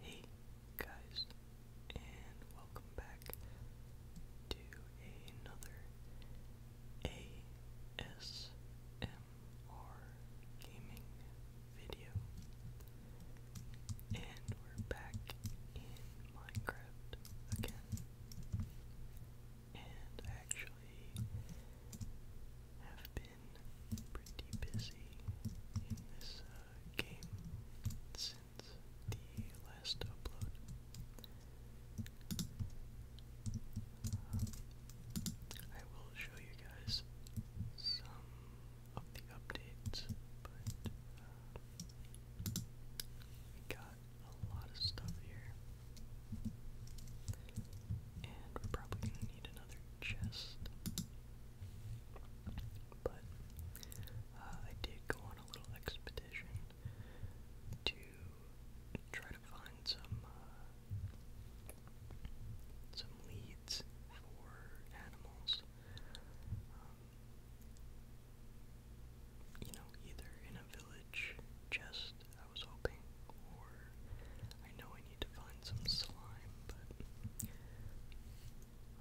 Hey guys, and welcome back to another ASMR gaming video. And we're back in Minecraft again. And I actually have been pretty busy in this uh, game since the last upload. I will show you guys some of the updates, but uh, we got a lot of stuff here. And we're probably going to need another chest. But uh, I did go on a little expedition to try to find some uh, some leads for animals. Um, you know, either in a village, just I was hoping, or I know in need to find some slime, but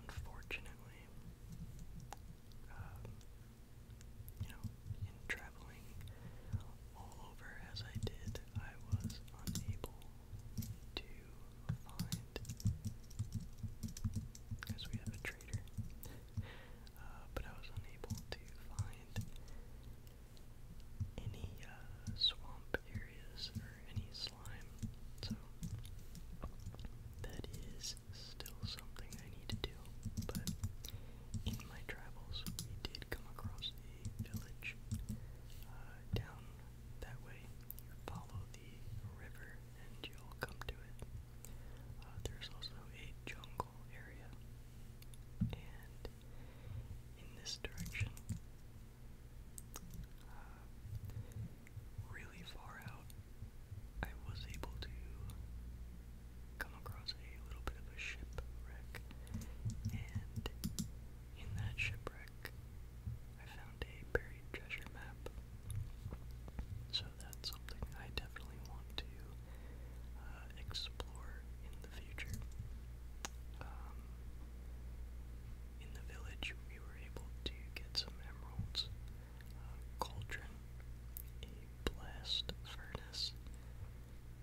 unfortunately, um, you know, in traveling all over as I did, I was unable to find, because we have a trader, uh, but I was unable to find any uh, swamp areas or any so that is still something I need to do. But in my travels, we did come across a village uh, down that way. follow the river and you'll come to it. Uh, there's also a jungle area. And in this direction, um, really far out, I was able to come across a little bit of a shipwreck, and in that shipwreck, I found a buried treasure map. So that's something I definitely want to uh, explore in the future. Um, in the village we were able to get some emeralds, uh, cauldron, a blast furnace,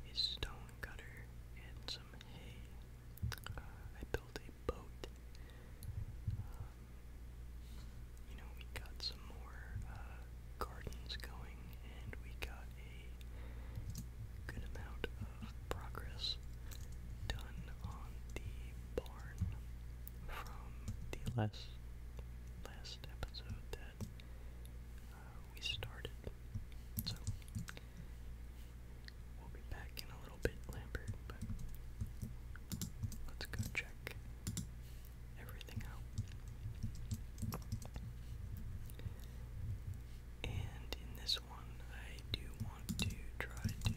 a stone cutter, and some hay. Uh, I built a boat. Um, you know, we got some more uh, gardens going, and we got a good amount progress done on the barn from the last last episode that uh, we started. So we'll be back in a little bit, Lambert, but let's go check everything out. And in this one, I do want to try to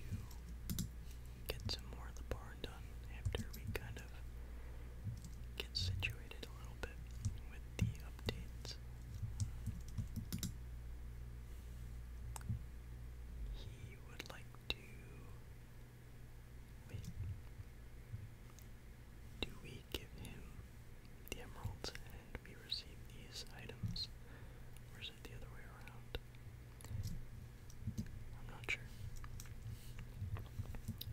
get some more of the barn done after we kind of get situated a little bit with the updates. He would like to. Wait. Do we give him the emeralds and we receive these items? Or is it the other way around? I'm not sure.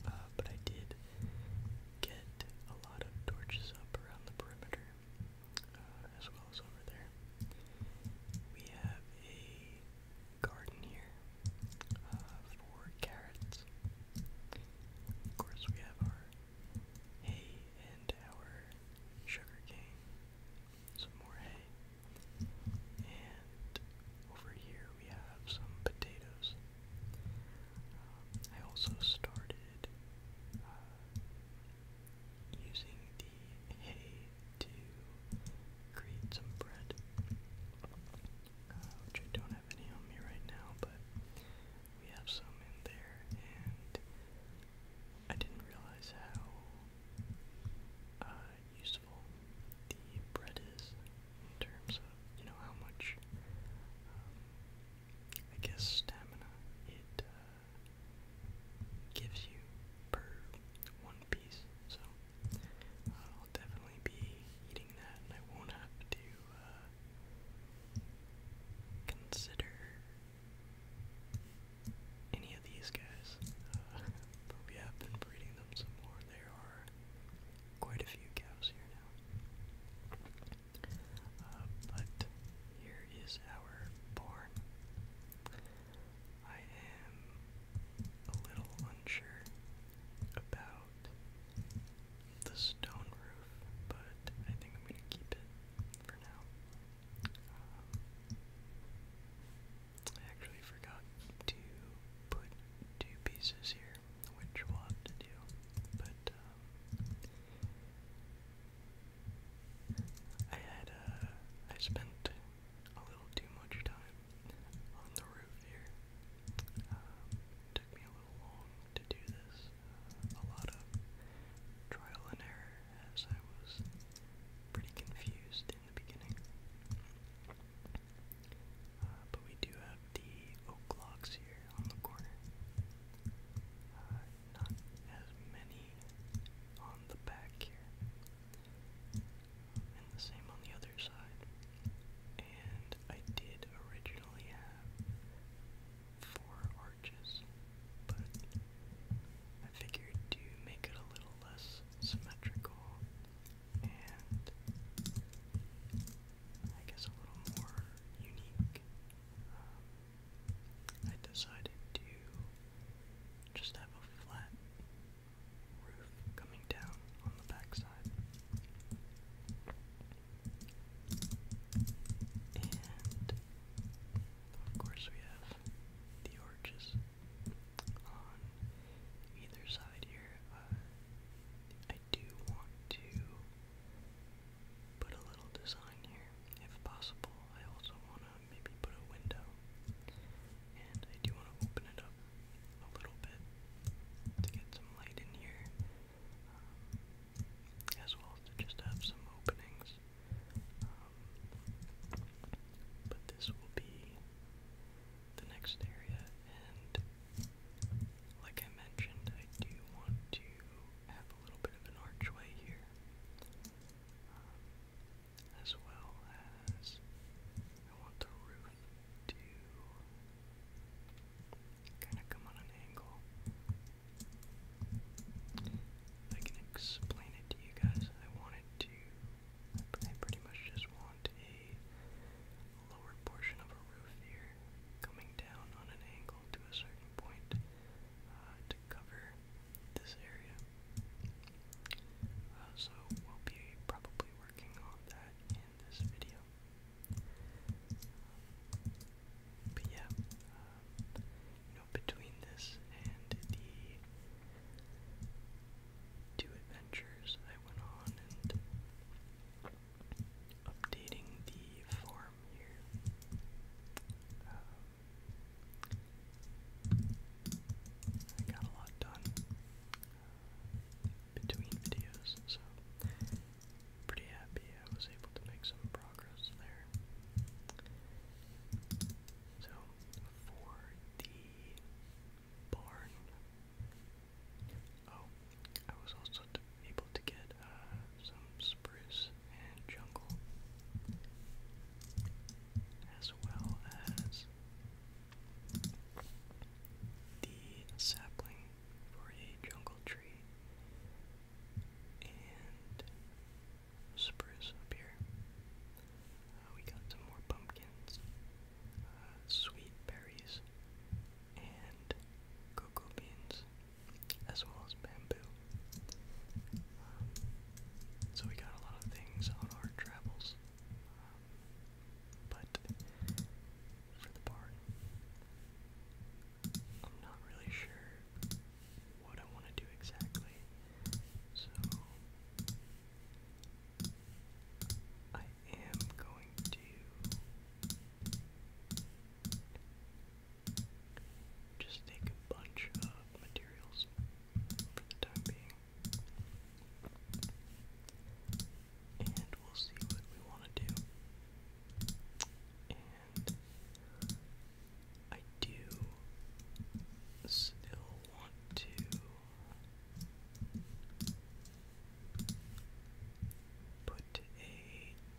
Uh, but I did get a lot of torches up around the perimeter uh, as well as over there. We have a garden here uh, for carrots. Of course, we have our hay and our sugar cane some more hay. And over here we have some potatoes. Um, I also started uh, using the hay to create some bread, uh, which I don't have any on me right now, but we have some in there, and I didn't realize how uh, useful the bread is in terms of, you know, how much, um, I guess, stamina it uh, gives you per one piece. So uh, I'll definitely be eating that I won't have to consider any of these guys. Uh, we have been breeding them some more. There are quite a few cows here now. Uh, but here is our barn. I am a little unsure about the stone roof, but I think I'm going to keep it for now. I actually forgot to put two pieces here, which we'll to but um, I had, uh, I spent a little too much time on the roof here. Um, took me a little long to do this, uh, a lot of trial and error as I was pretty confused in the beginning. Uh, but we do have the oak logs here on the corner. Uh, not as many on the back here. And the same on the other side. And I did originally have four arches, but I figured to make it a little less symmetrical and I guess a little more unique, um, I decided to just have a flat roof coming down on the backside. And of course, we have the arches on either side here. Uh, I do want to put a little design here, if possible. I also want to maybe put a window, and I do want to open it up a little bit to get some light in here, um, as well as to just have some openings um, but this will be the next area, and like I mentioned, I do want to have a little bit of an archway here, um, as well as I want the roof to kind of come on an angle. I can explain it to you guys. I wanted to, I pretty much just want a lower portion of a roof here coming down on an angle to a certain point uh, to cover this area. Uh, so we'll be probably working on that in this video. But yeah, uh, you know, between this and the two adventures I went on and updating the farm here. Um, I got a lot done uh, between videos, so pretty happy I was able to make some progress there. So for the barn. Oh, I was also able to get uh, some spruce and jungle, as well as the sapling for a jungle tree, and spruce up here. Uh, we got some more pumpkins, uh, sweet berries, and cocoa beans, as well as bamboo. Um, so we got a lot of things on our travels, um, but for the barn, I'm not really sure what I want to do exactly. So I am going to just take a bunch of materials for the time being. And we'll see what we want to do. And I do still want to put a.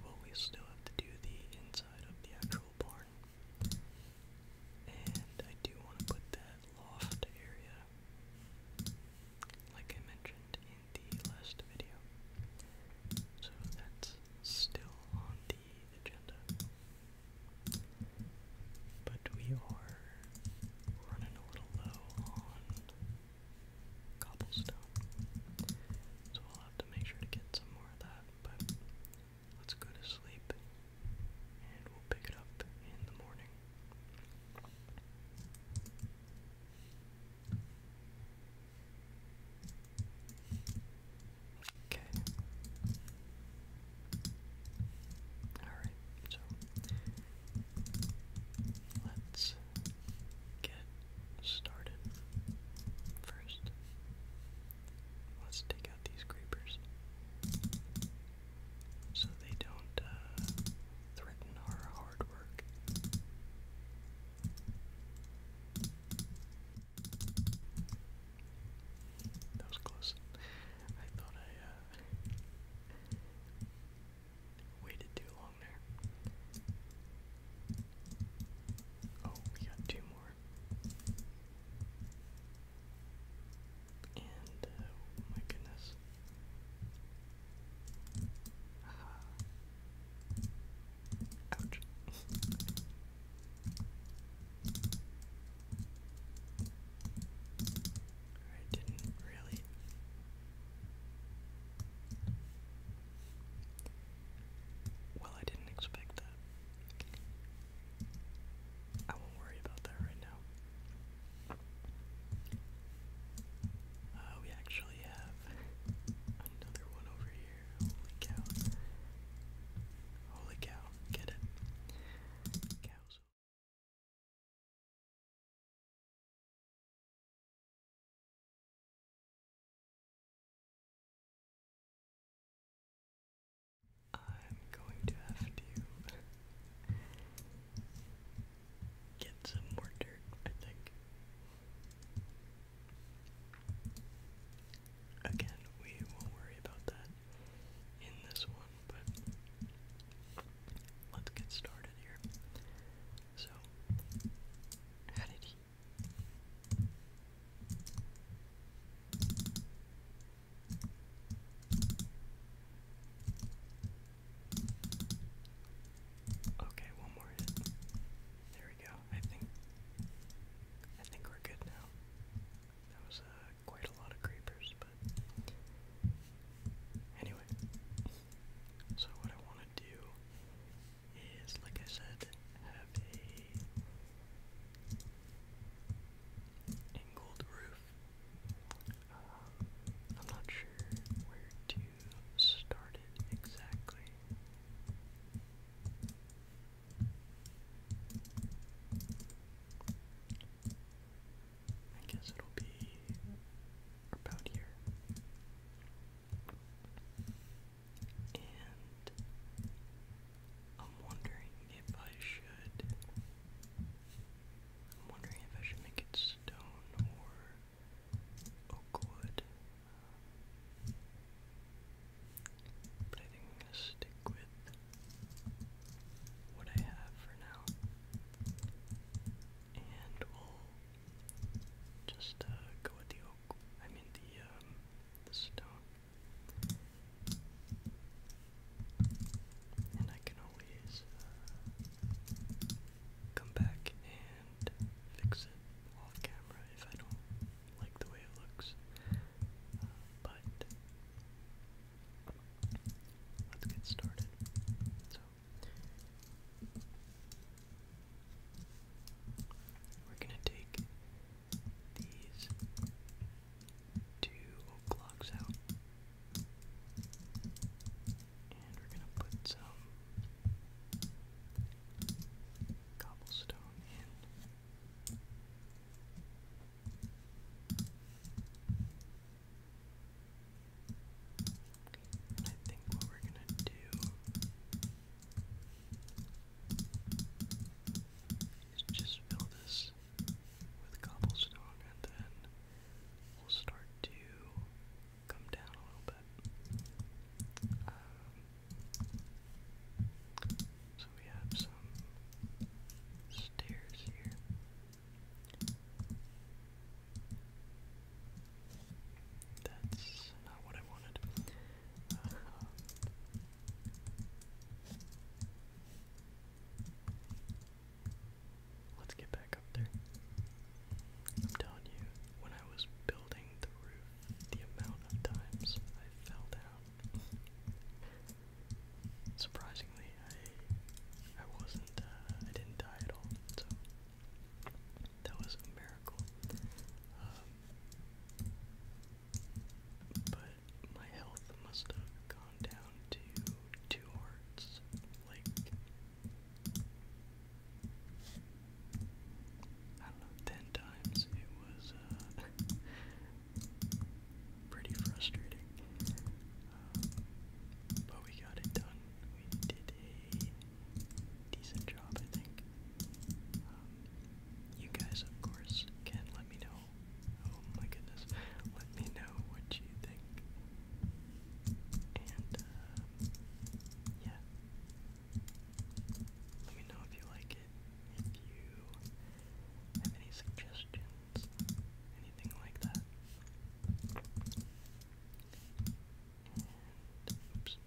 Well, we still have to do the inside of the actual barn. And I do want to put that loft area, like I mentioned in the last video. So that's still on the agenda. But we are running a little low on cobblestone. So I'll have to make sure to get some more of that. But let's go to sleep and we'll pick it up in the morning. Okay. Alright, so let's get started. First, let's take out these creepers so they don't uh, threaten our hard work. That was close. I thought I uh, waited too long there. Oh, we got two more. And, uh, oh my goodness. Ouch. I didn't really. Well, I didn't expect that. I won't worry about that right now. Uh, we actually have another one over here. Holy cow. Holy cow. Get it. Cows. I'm going to have to get some more dirt, I think. Again, we won't worry about that in this one, but let's get started here. So, Okay, one more hit. There we go. I think I think we're good now. That was a uh, quite a lot of creepers, but anyway. So what I want to do is, like I said, have a angled roof. Um, I'm not sure where to start it exactly. I guess it'll be about here. And I'm wondering if I should. I'm wondering if I should make it stone or oak wood. But I think I'm gonna stick with what I have for now. And we'll just uh, go with the oak. I mean the um, stone. And I can always uh, come back and fix it off camera if I don't like the way it looks. Uh, but let's get started. So, we're going to take these two blocks out, and we're going to put some cobblestone in. And I think what we're going to do is just fill this with cobblestone and then we'll start to come down a little bit. Um, so we have some stairs here. That's not what I wanted. Uh-huh. let's get back up there. I'm telling you, when I was building the roof, the amount of times I fell down Surprisingly, I I wasn't uh, I didn't die at all, so that was a miracle. Um, but my health must have gone down to two hearts, like I don't know, ten times. It was uh, pretty frustrating. Um, but we got it done. We did a decent job, I think. Um, you guys, of course, can let me know. Oh my goodness. Let me know what you think. And, uh, yeah. Let me know if you like it. If you have any suggestions games, anything like that. oops.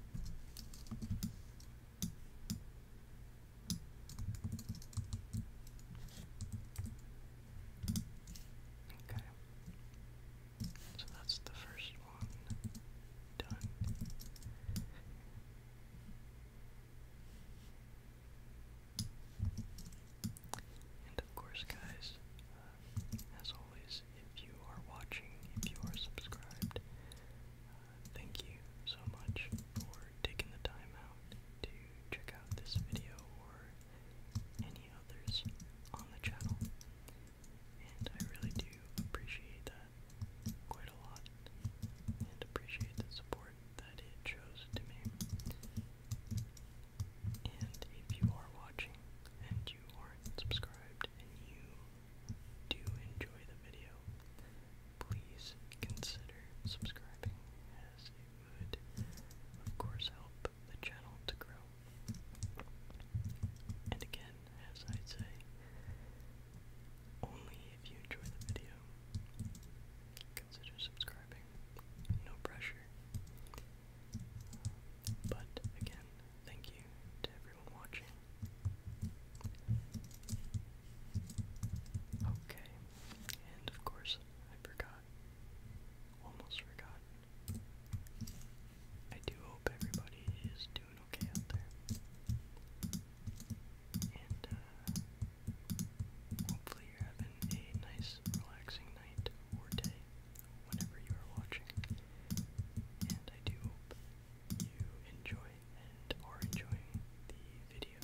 Okay. So that's the first one done. And of course, guys, uh, as always, if you are watching, if you are subscribed, uh, thank you so much for taking the time out to check out this video or any others on the channel. And I really do appreciate that quite a lot and appreciate the support board that it chose to me. And if you are watching and you aren't subscribed and you do enjoy the video, please consider subscribing as it would, of course, help the channel to grow. And again, as I say, only if you enjoy the video consider subscribing. No pressure. But again, thank you to everyone watching. Okay, and of course, I forgot. Almost forgot. I do hope everybody is doing okay out there. And, uh, Hopefully, you're having a nice, relaxing night or day whenever you are watching. And I do hope you enjoy and are enjoying the video.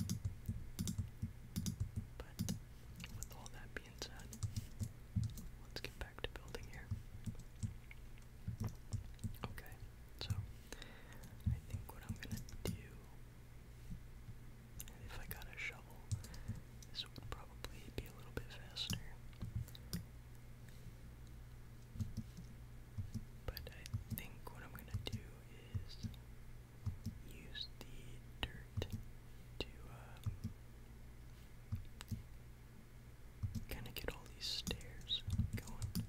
But with all that being said, let's get back to building here. Okay, so I think what I'm gonna do and if I got a shovel, this would probably be a little bit faster. But I think what I'm gonna do is use the dirt to um, kind of get all these stairs going.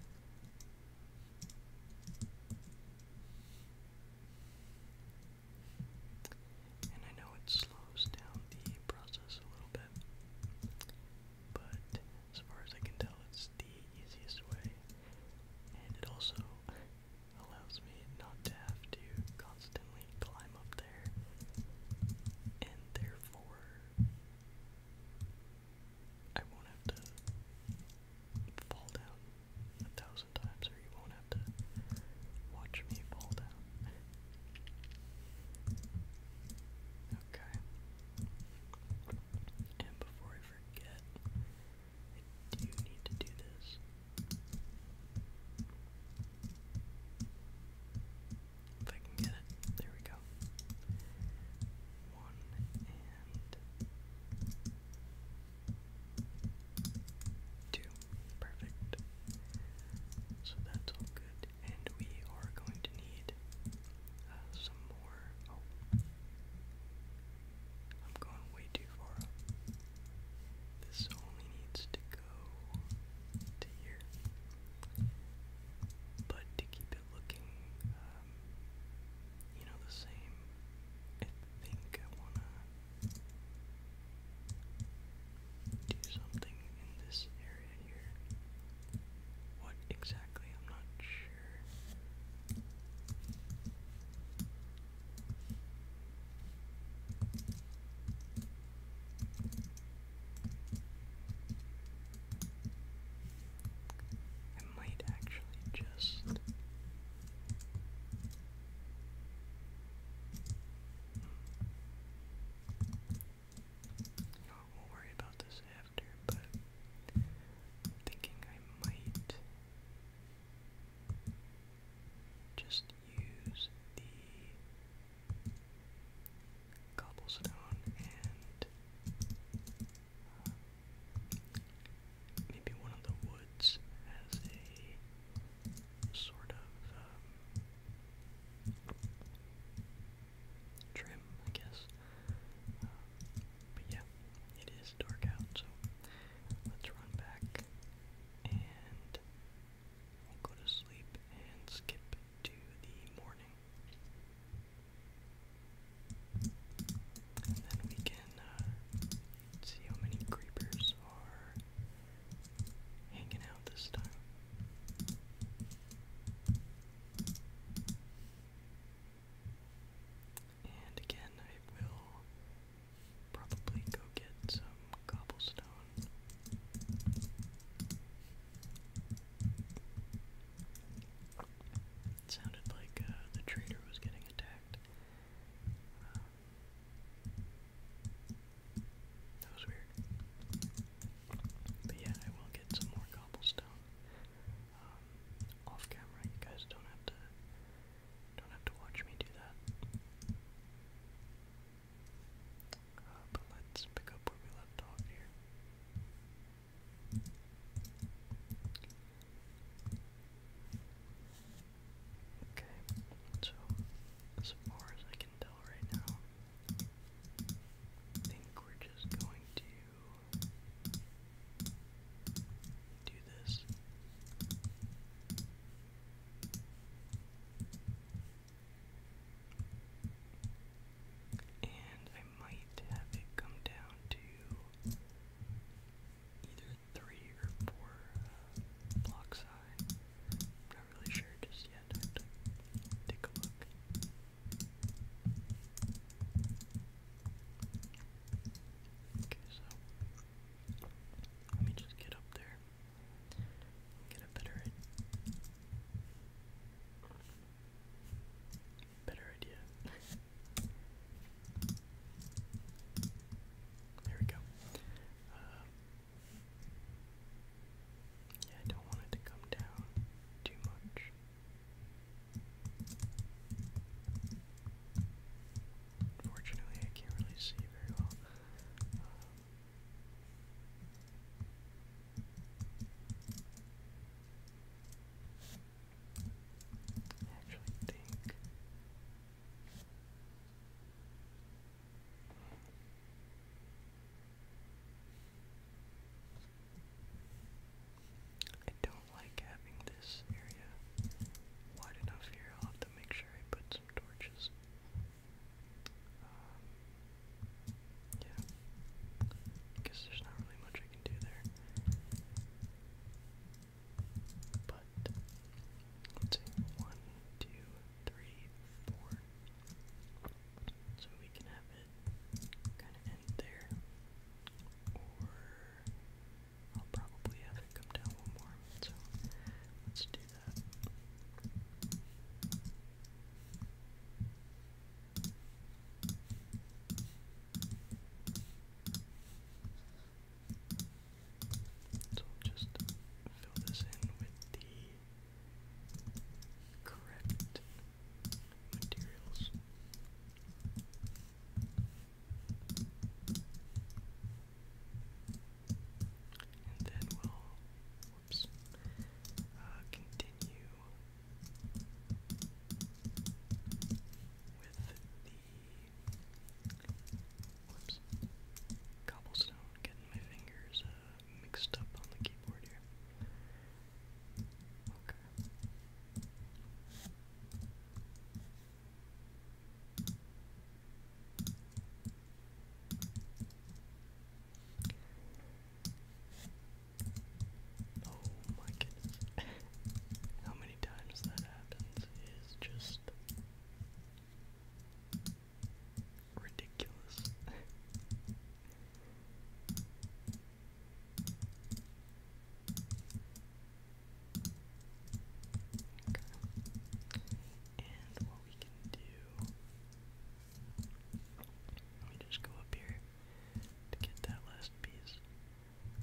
And I know it slows down the process a little bit, but as far as I can tell, it's the easiest way. And it also allows me not to have to constantly climb up there, and therefore I won't have to fall down a thousand times, or you won't have to watch me fall down. okay. And before I forget, I do need to do this. If I can get it, there we go. One and Two. Perfect. So that's all good. And we are going to need uh, some more. Oh. I'm going way too far This only needs to go to here. But to keep it looking, um, you know, the same, I think I want to do something in this area here. What exactly? I'm not sure. I might actually just you we'll worry about this after, but thinking I might just use the cobblestone and uh, Maybe one of the woods has a sort of um, trim, I guess. but yeah, it is dark out, so let's run back and go to sleep and skip to the morning. And then we can uh, Let's see how many creepers are hanging out this time. And again, I will probably go get some cobblestone. It sounded like uh, the trader was getting attacked. Um, that was weird. But yeah, I will get some more cobblestone. Um, off camera, you guys don't have to don't have to watch me do that. Uh, but let's pick up where we left off here. Okay, so as far as I can tell right now, I think we're just going to do this. And I might have it come down to either three or four uh, blocks high. I'm not really sure just yet. take a look. Okay, so let me just get up there get a better better idea. There we go. Um, yeah, I don't want it to come down too much. Unfortunately, I can't really see very well. Um, actually think I don't like having this area wide enough here. i have to make sure I put some torches. Um, yeah, because there's not really much I can do there. But let's see, one, two, three, four. So we can have it kind of end there, or I'll probably have it come down one more. So let's do that. So we'll just fill this in with the correct materials. And then we'll whoops, uh, continue with the Whoops. Cobblestone, getting my fingers uh, mixed up on the keyboard here. Okay. Oh my goodness. How many times that happens is just Ridiculous. And what we can do. Let me just go up here to get that last piece.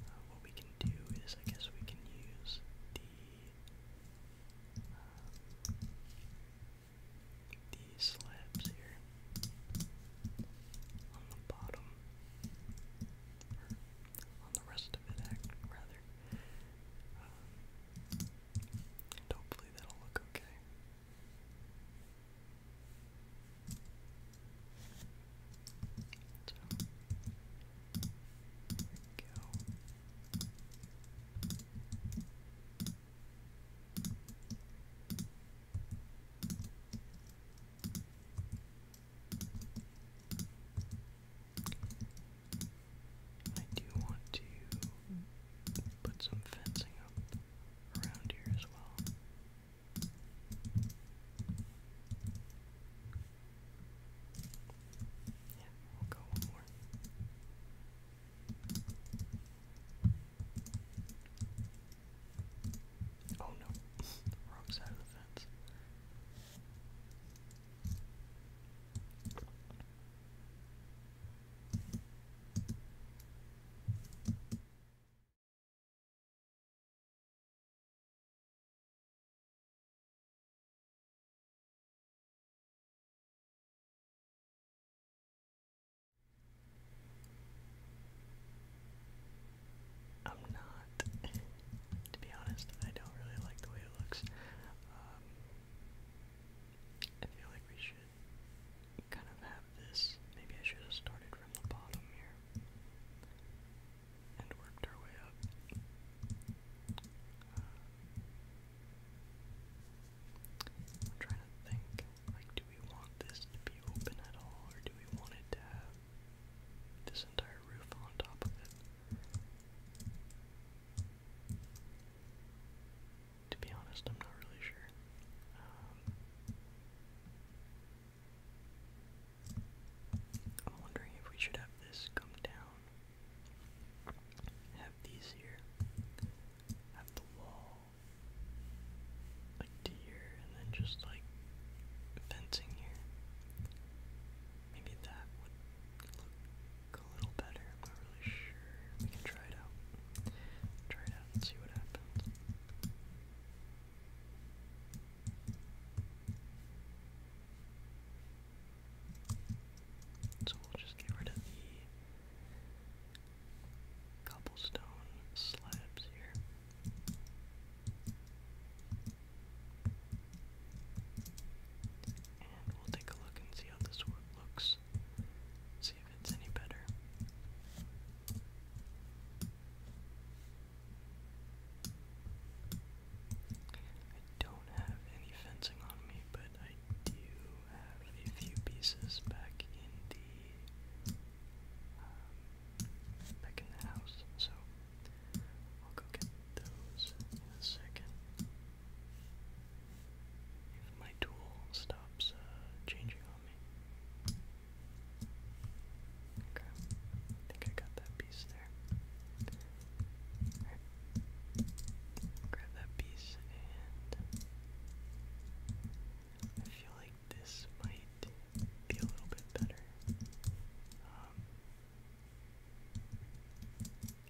Uh, what we can do is, I guess, we can use the these slabs here on the bottom, on the rest of it, rather. and um, hopefully that'll look okay go. I do want to put some fencing up around here as well. Yeah, we'll go one more. Oh no, wrong side of the fence. I'm not. to be honest, I don't really like the way it looks. Um, I feel like we should kind of have this. Maybe I should have started from the bottom here and worked our way up. Uh, I'm trying to think, like, do we want this to be open at all, or do we want it to have this entire roof on top of it? To be honest, I'm not really sure. Um, I'm wondering if we should have this come down have these here. Have the wall. Like to and then just like fencing here. Maybe that would look a little better. I'm not really sure. We can try it out. Try it out and see what happens. So we'll just get rid of the cobblestone slabs here. And we'll take a look and see how this one looks. See if it's any better. I don't have any fencing on me, but I do have a few pieces back in the um, back in the house, so I'll go get those in a second. If my tool stops uh, changing on me. Okay, I think I got that piece there. Grab that piece and I feel like this might be a little bit better. Um,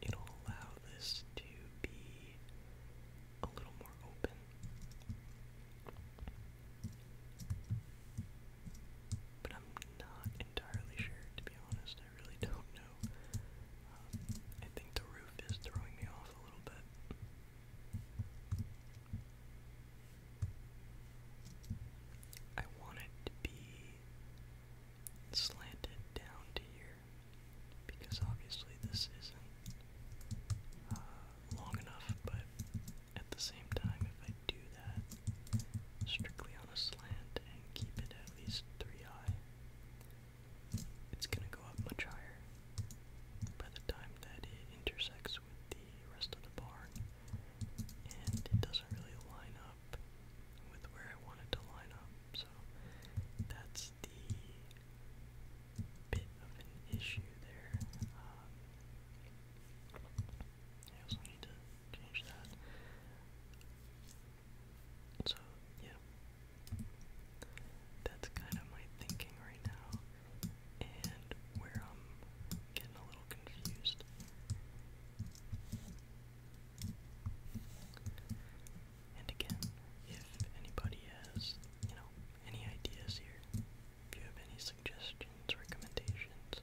it'll allow this to be a little more open. But I'm not entirely sure, to be honest, I really don't know. Um, I think the roof is throwing me off a little bit. I want it to be slanted down to here because obviously this isn't uh, long enough, but at the same time, if I do that, strictly on a slant and keep it at least three high. It's going to go up much higher by the time that it intersects with the rest of the barn, and it doesn't really line up with where I want to line up, so that's the bit of an issue there. Um, I also need to change that. So, yeah. That's kind of my thinking right now, and where I'm getting a little confused. And again, if anybody has, you know, any ideas here, if you have any suggestions, recommendations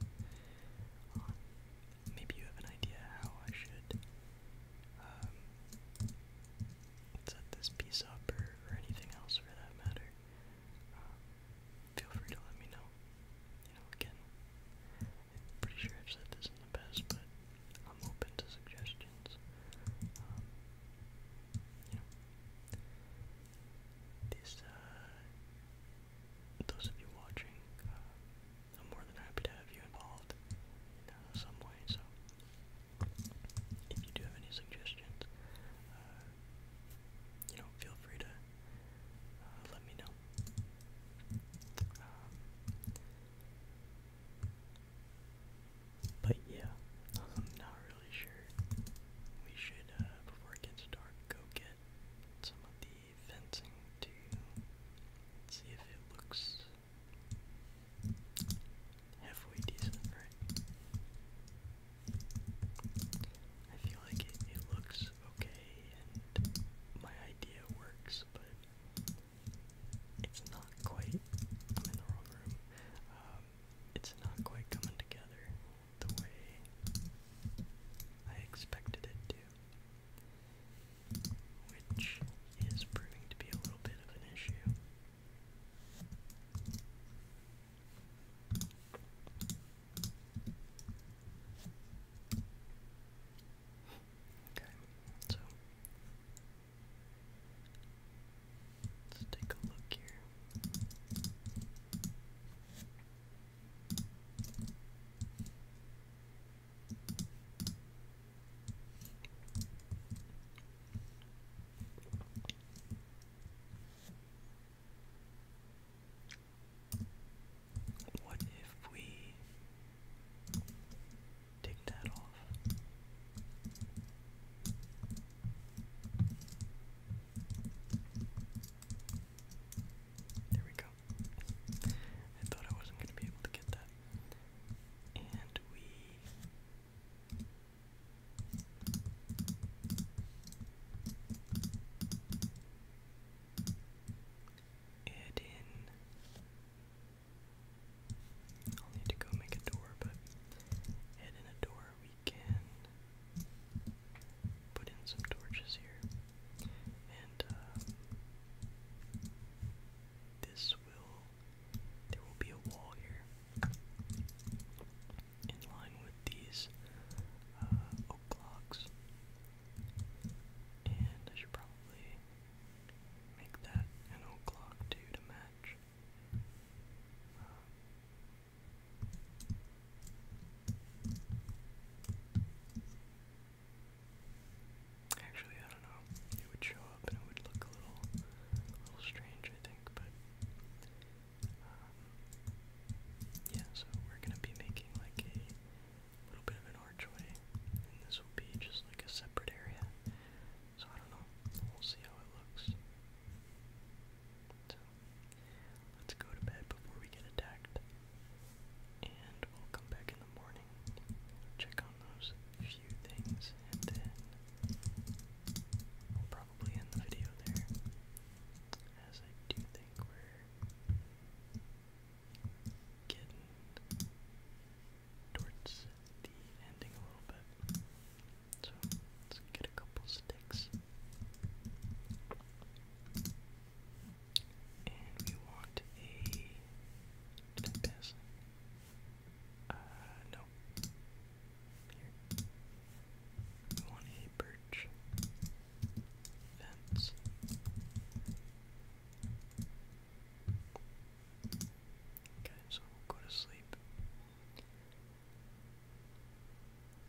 on maybe you have an idea how I should um, set this piece up or, or anything else for that matter. Um, feel free to let me know. You know, again, I'm pretty sure I've said this in the past, but I'm open to suggestions. Um, you know, these, uh, those of you watching, uh, I'm more than happy to have you involved in uh, some way. So, if you do have any suggestions, uh, you know, feel free to uh, let me know. Um, but yeah, I'm not really sure. We should, uh, before it gets dark, go get some of the fencing to see if it looks halfway decent, right? I feel like it, looks okay and my idea works, but it's not quite, I'm in the wrong room, um, it's not quite coming together the way I expected it to which is proving to be a little bit of an issue. Okay, so let's take a look here. What if we take that off? There we go. I thought I wasn't going to be able to get that. And we. Add in. I'll need to go make a door, but add in a door. We can put in some torches here and uh, this will there will be a wall here in line with these uh, oak blocks, and I should probably make that an oak block too to match. Um, Actually, I don't know. It would show up and it would look a little, a little strange, I think. But um, yeah, so we're gonna be making like a little bit of an archway, and this will be just like a separate area. So I don't know. We'll see how it looks. So let's go to bed before we get attacked and we'll come back in the morning, check on those few things, and then we'll probably end the video there, as I do think we're getting towards the ending a little bit. So let's get a couple sticks. And we want a. Did I pass? Uh, no. Here. We want a birch fence. Okay, so we'll go to sleep.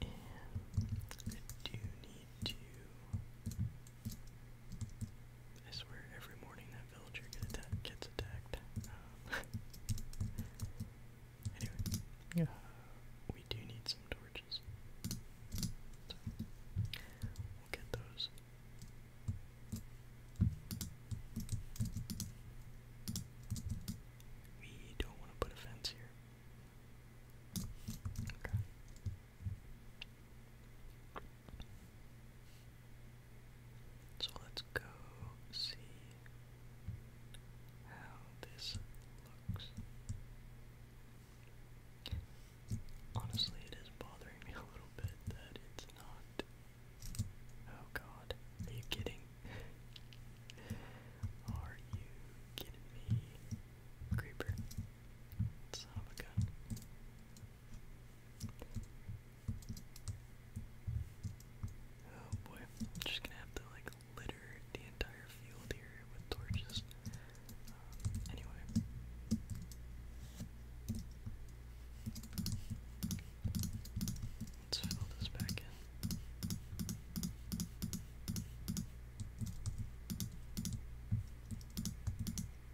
And I do need to I swear every morning that villager gets attacked. Um, anyway, yeah. Uh, we do need some torches. we'll get those. We don't want to put a fence here. Okay. So let's go see how this looks. Honestly, it is bothering me a little bit that it's not. Oh god, are you kidding? Are you kidding me? Creeper. Son of a gun. Oh boy, just gonna have to like litter the entire field here with torches. Um, anyway. Let's fill this back in.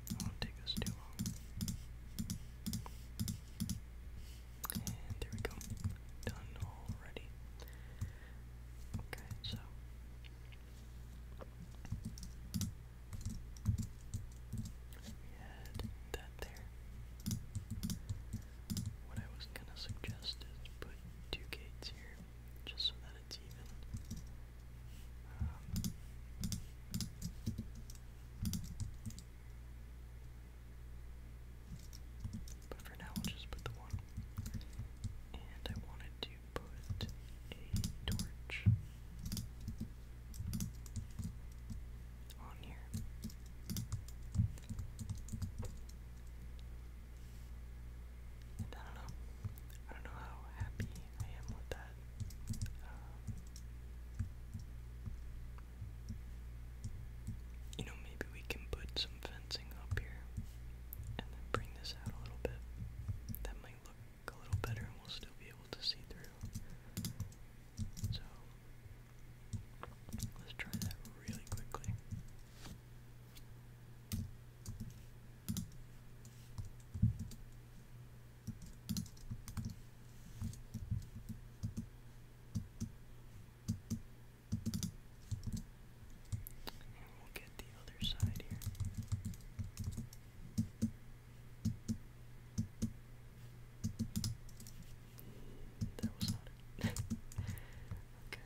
It won't take us too long. And there we go. Done already. Okay, so. We had that there. What I was gonna suggest is put two gates here, just so that it's even. But for now, we'll just put the one. And I wanted to put a torch on here. I don't know. I don't know how happy I am with that you know, maybe we can put some fencing up here and then bring this out a little bit. That might look a little better and we'll still be able to see through. So, let's try that really quickly. And we'll get the other side here. That was not it. okay.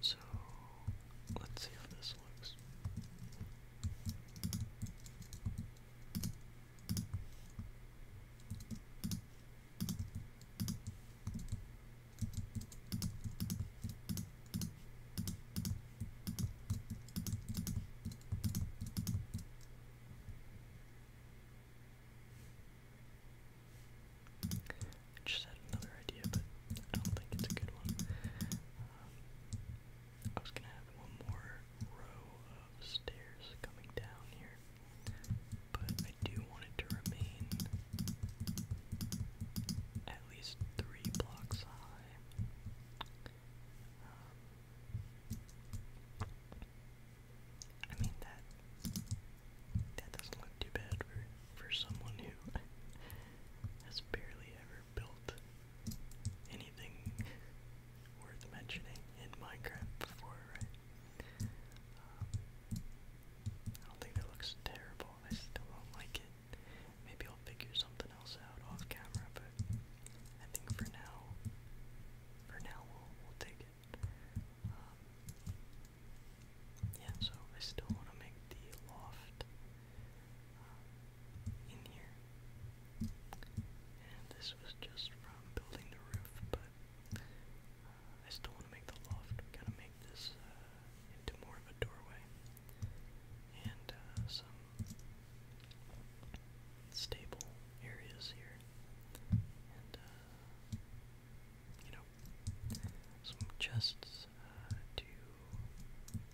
So let's see how this looks. I just had another idea, but I don't think it's a good one. Um, I was gonna have one more row of stairs coming down here, but I do want it to remain at least three blocks high. Um, I mean that that doesn't look too bad for for someone who has barely ever built anything worth mentioning in Minecraft before, um, I don't think that looks terrible. I still don't like it. Maybe I'll figure something else out off camera, but I think for now, for now we'll, we'll take it. Um, yeah, so I still want to make the loft um, in here. And this was just from building the roof, but uh, I still want to make the loft. We gotta make this uh, into more of a doorway and uh, some stable areas here. And uh, you know, some chests uh, to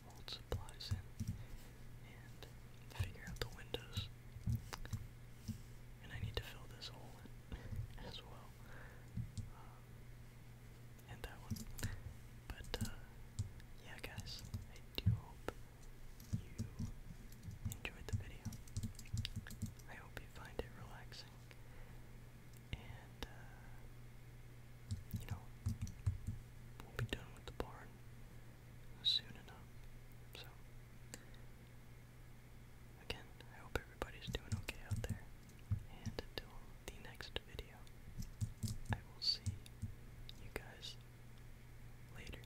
hold supplies in and figure out the windows. And I need to fill this hole as well. Um, and that one. But, uh, yeah, guys, I do hope you enjoyed the video. I hope you find it relaxing. And, uh, you know, we'll be done with the barn soon enough. So, again, I hope everybody's doing okay out there. And until the next video, I will see you guys later.